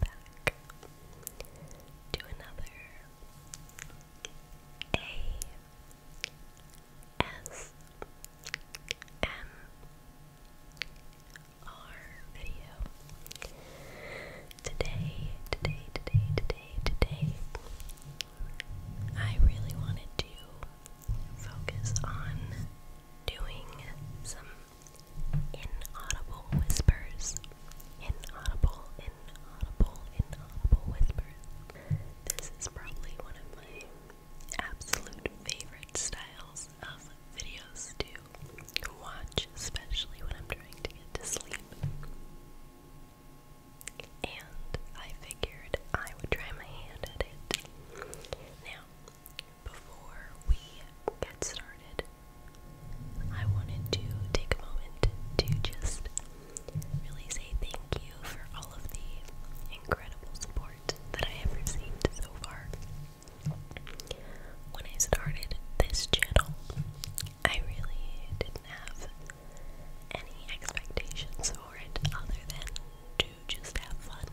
back to another A S M R video. Today, today, today, today, today, I really wanted to focus on doing some inaudible whispers. Inaudible, inaudible, inaudible whispers. This is probably one of my absolute favorite styles of videos to watch, especially when I'm trying to get to sleep. And I figured I would try my hand at it. Now, before we get started, I wanted to take a moment to just really say thank you for all of the incredible support that I have received so far. When I started this channel, I really didn't have any expectations for it other than to just have fun.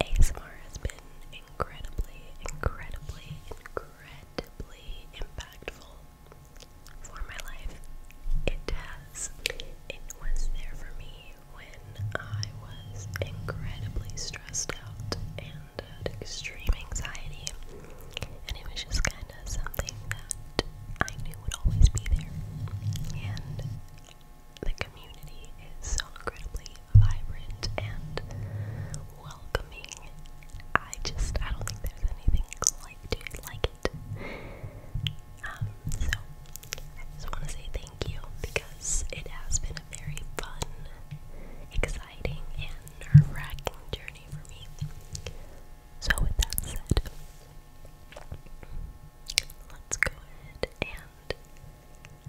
ASMR has been incredibly, incredibly, incredibly impactful for my life. It has. It was there for me when I was incredibly stressed out and had extreme anxiety, and it was just kind of something that I knew would always be there. And the community is so incredibly vibrant and welcoming. I just, I don't think there's anything like like it. Um, so, I just want to say thank you because it has been a very fun, exciting, and nerve wracking journey for me. So, with that said, let's go ahead and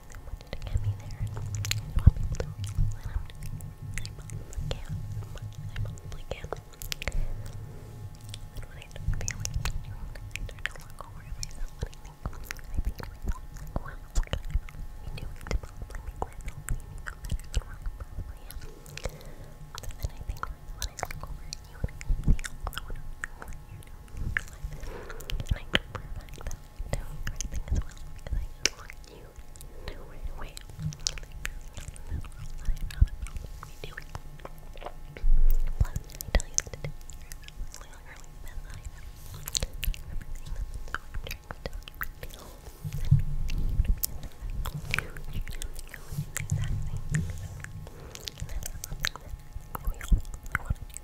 I wanted to get me there and I want people to realize what I'm doing. I'm on the cam. I'm on the cam. And when I start feeling like I start to walk over to myself and I think, I think to myself, wow, what can I be doing to probably make myself feel even better than what I probably am? So then I think, when I look over at you and I see all the wonderful things that you're doing, and I know for a fact that I'm doing the right thing as well because I just want you to know right away that there's nothing in this world that I'd rather not be doing. Plus, I tell you that today is literally the best I ever. I remember saying that, so I'm trying to tell you that the whole thing you to be successful. You should have to go and do the exact same things. And that's something that we all want to do.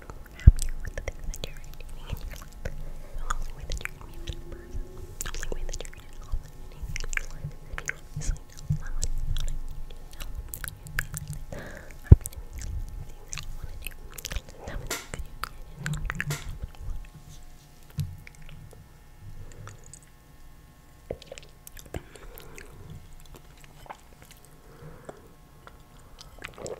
happy with the things that you're doing in your life. The only way that you're gonna be the only way that you're gonna help anything in your life is if you honestly know how to do it. Happiness is things that you wanna do. That was a good idea. I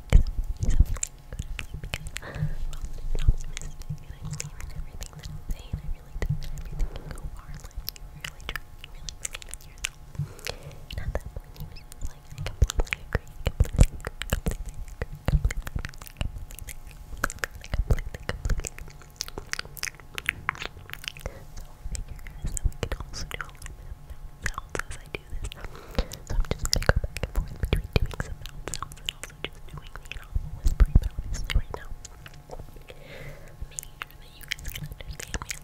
because I'm optimistic and I believe in everything that I say and I really think that everything can go far in life. You really try, you really believe in yourself. And at that point he was just like, I completely agree, completely agree, completely agree, completely agree, completely, completely, completely, completely. So I figure guys that we can also do a little bit of sounds as I do So I'm just going back and forth between doing some mouth and also just doing the animal whispering, but right now I'm making sure that you guys can me a little bit more.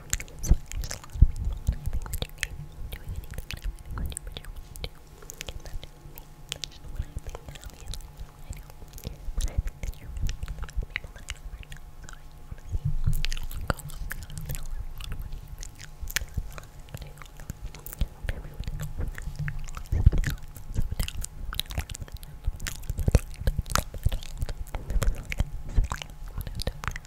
So there's a lot of people, and I think that you're capable of doing anything that I want you to do. That's just me. That's just what I think, and obviously I know. But I think that you're really one of the people that I know right now, so I just want to see. Go look out and tell everyone what you think. Thank you.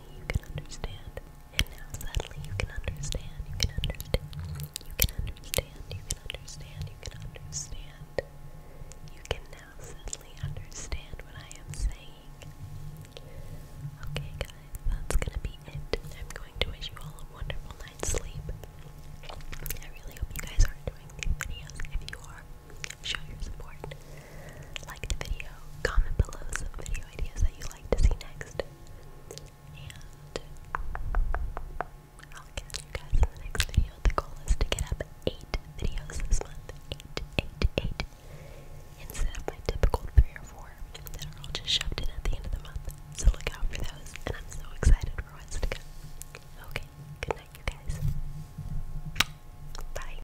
suddenly you can understand. And now suddenly you can understand. You can understand. You can understand. You can understand. You can understand. You can now suddenly understand what I am saying. Okay, guys, that's gonna be it. I'm going to wish you all a wonderful night's sleep. I really hope you guys are enjoying these videos. If you are, show your support like the video, comment below some video ideas that you'd like to see next, and I'll catch you guys in the next video. The goal is to get up 8 videos this month, 8, 8, 8, instead of my typical 3 or 4 that are all just shoved in at the end of the month, so look out for those, and I'm so excited for what's to come. Okay, good night you guys. Bye.